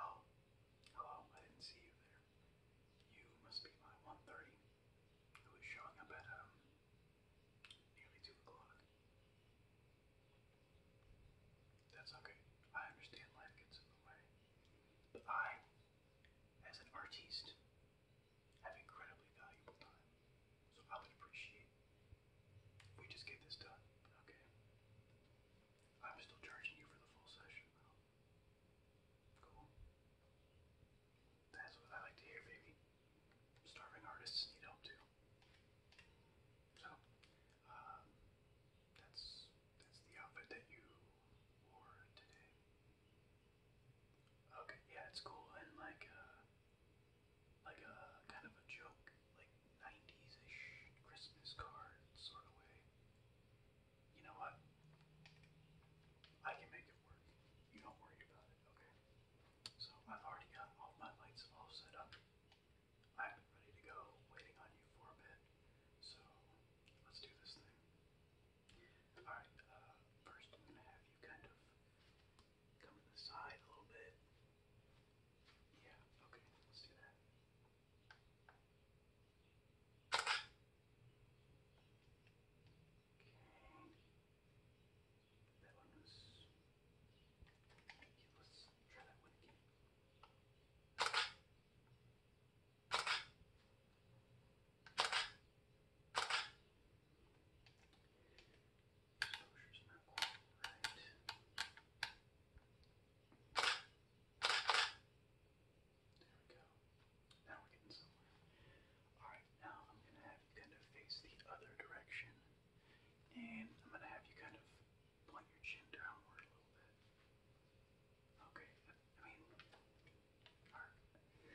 Oh, hello, I didn't see you there. You must be my 130, who is showing up at um, nearly 2 o'clock. That's okay. I understand life gets in the way. But I, as an artiste, have incredibly valuable time. So I would appreciate we just get this done, okay? I'm still charging you for the full session, Cool. That's what I like to hear, baby. Starving artists need help, too. So, um, that's that's the outfit that you wore today. Okay, yeah, it's cool and like a uh, like a kind of a joke, like '90s-ish Christmas card sort of way. You know what? I can make it work. You don't worry about it, okay? So I've already got all my lights all set up i am ready to go, waiting on you for a bit. So let's do this thing. Alright, uh, first I'm gonna have you kind of come to the side a little bit. Yeah, okay, let's do that. Okay. That one was. let's try that one again. Now we're getting somewhere. Alright, now I'm going to have you kind of face the other direction. And I'm going to have you kind of point your chin downward a little bit. Okay, I mean, Okay. Oh my gosh.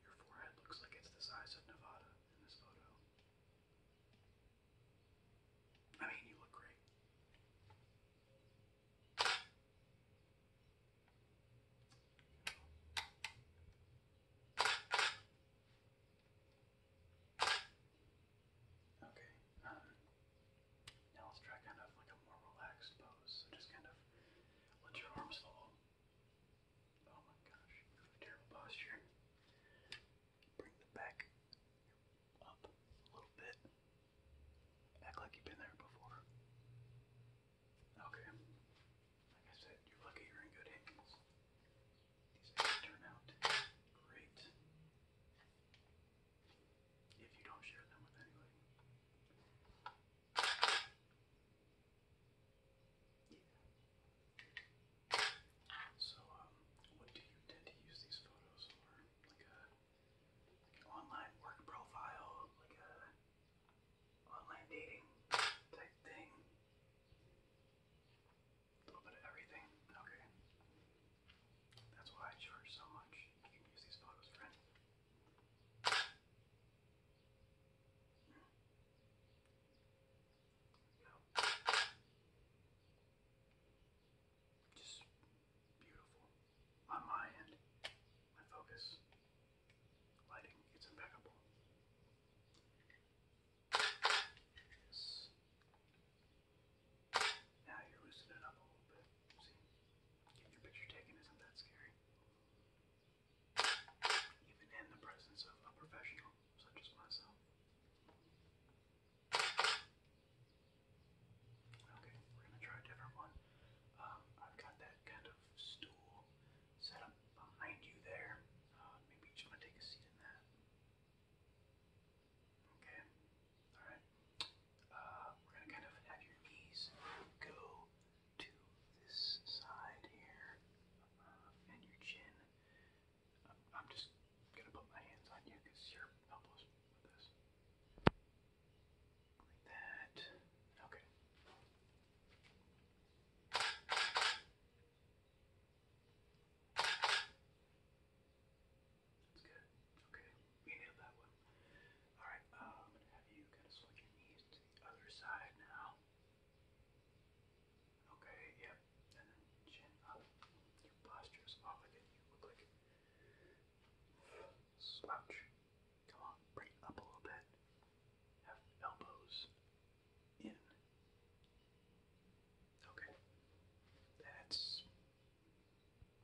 Your forehead looks like it's the size of Nevada in this photo. I mean, you look great. Okay, um, now let's try kind of like a more relaxed pose. So just kind of let your arms fall. Oh my gosh, terrible posture. Bring the back up a little bit. Act like you've been there before. Okay. Like I said, you're lucky you're in good hands. These eggs turn out great. If you don't share them with anybody. So, um, what do you tend to use these photos for? Like a online work profile, like a online dating type thing. A little bit of everything. Okay. That's why I charge so much. You can use these photos for Just beautiful. On my end, my focus, lighting, it's impeccable. Yes. Now you're loosening up a little bit. Getting your picture taken isn't that scary. Even in the presence of a professional such as myself. Okay, we're gonna try a different one. Um, I've got that kind of stool set up behind you there. Uh, maybe you just want to take a seat in that. Okay. All right. Uh, we're going to kind of have your knees go to this side here uh, and your chin. I'm, just going to put my hands on you because you're Like that. Okay. That's good. Okay, we nailed that one. Alright, um, I'm going to have you kind of swing knees to the other side now. Okay, yep. chin up. Your posture is off again. You look like slouch. Come on, bring it up a little bit. Have elbows in. Okay. That's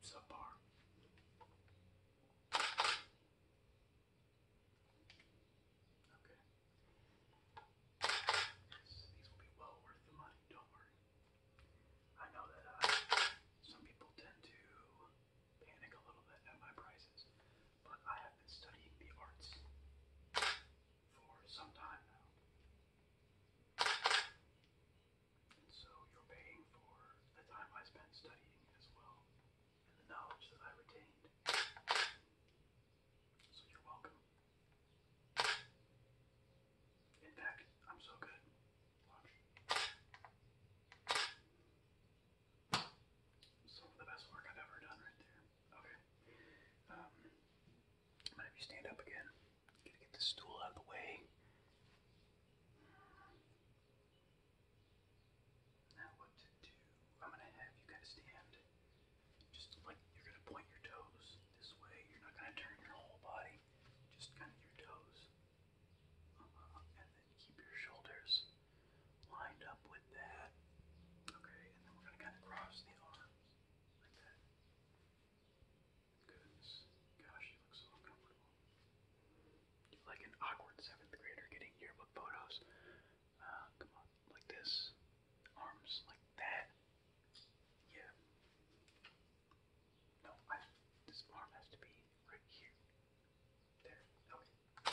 subpar. Okay. Yes, these will be well worth the money, don't worry. I know that uh, some people tend to panic a little bit at my prices but I have been studying the arts for some time now. And so you're paying for the time I spent studying as well, and the knowledge that I retained. So you're welcome. In fact, I'm so good. Some of the best work I've ever done right there. Okay. Um, I'm gonna have you stand up again. Gotta get this stool out of the way. Now what to do, I'm gonna have you kind of stand just like you're gonna point your toes this way. You're not gonna turn your whole body, just kind of your toes. Uh -huh. Uh, and then keep your shoulders lined up with that. Okay, and then we're going to kind of cross the arms like that. Goodness. Gosh, you look so uncomfortable. like an awkward seventh grader getting yearbook photos. Uh, come on, like this. Arms like that. Yeah. No, I, this arm has to be right here. There. Okay.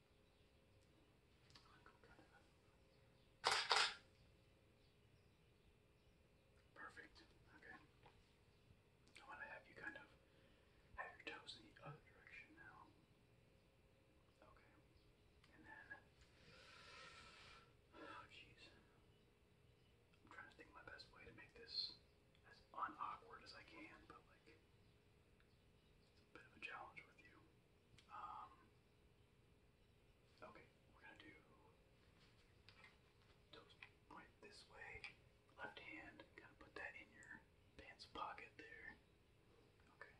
Perfect. Okay. I want to have you kind of have your toes in the other direction now. Okay. And then, oh jeez. I'm trying to think my best way to make this as unawkward as I can, but like, it's a bit of a challenge with you. Um, okay, we're gonna do toes right this way. Left hand, kind of put that in your pants pocket there. Okay,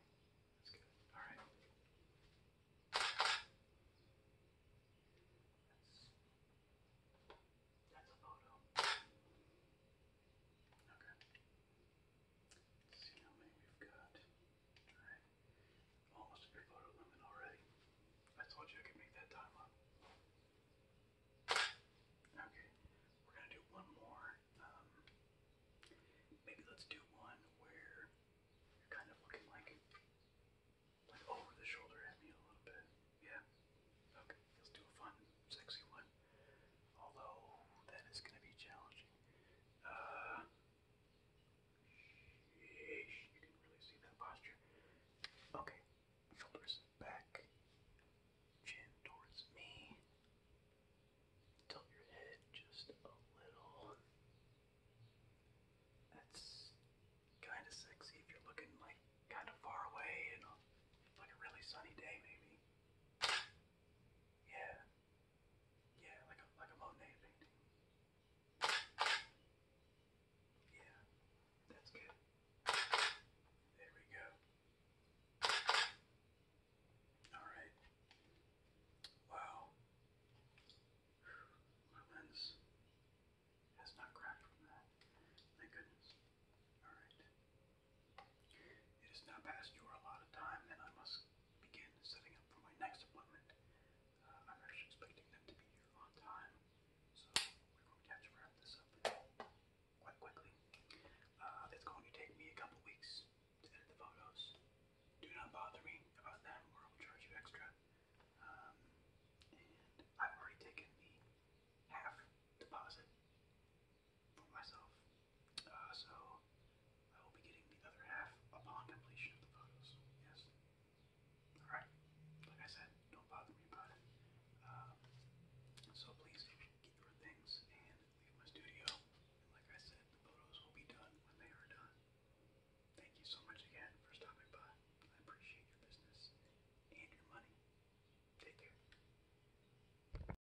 that's good. All right. That's, that's a photo. Okay see how many we've got. Alright. Almost a big already. I told you I could make that time Okay, we're gonna do one more. Um, maybe let's do one where you're kind of looking like like over the shoulder at me a little bit. Yeah. Okay, let's do a fun, sexy one. Although, that is going to be challenging. Uh, you can really see that posture. Okay, shoulders back, chin towards me. Tilt your head just a little. That's kind of sexy if you're looking like kind of far away and like a really sunny day, maybe. Yeah. Yeah, like a like a Monet painting. Yeah, that's good. There we go. Alright. Wow. My lens has not cracked from that. Thank goodness. Alright. It is now past your allotted time, and I must begin setting up for my next appointment. Uh, I'm actually expecting them to be here on time, so we're going to have to wrap this up quite quickly. Uh, going to take me a couple weeks to edit the photos. Do not bother me about them, or I'll charge you extra. Um, I've already taken the half deposit for myself. Uh, so I will be getting the other half upon completion of the photos. Yes. All right. Like I said, don't bother me about it. Um, so please get your things and leave my studio. like I said, the photos will be done when they are done. Thank you so much again for stopping by. I appreciate your business and your money. Take care.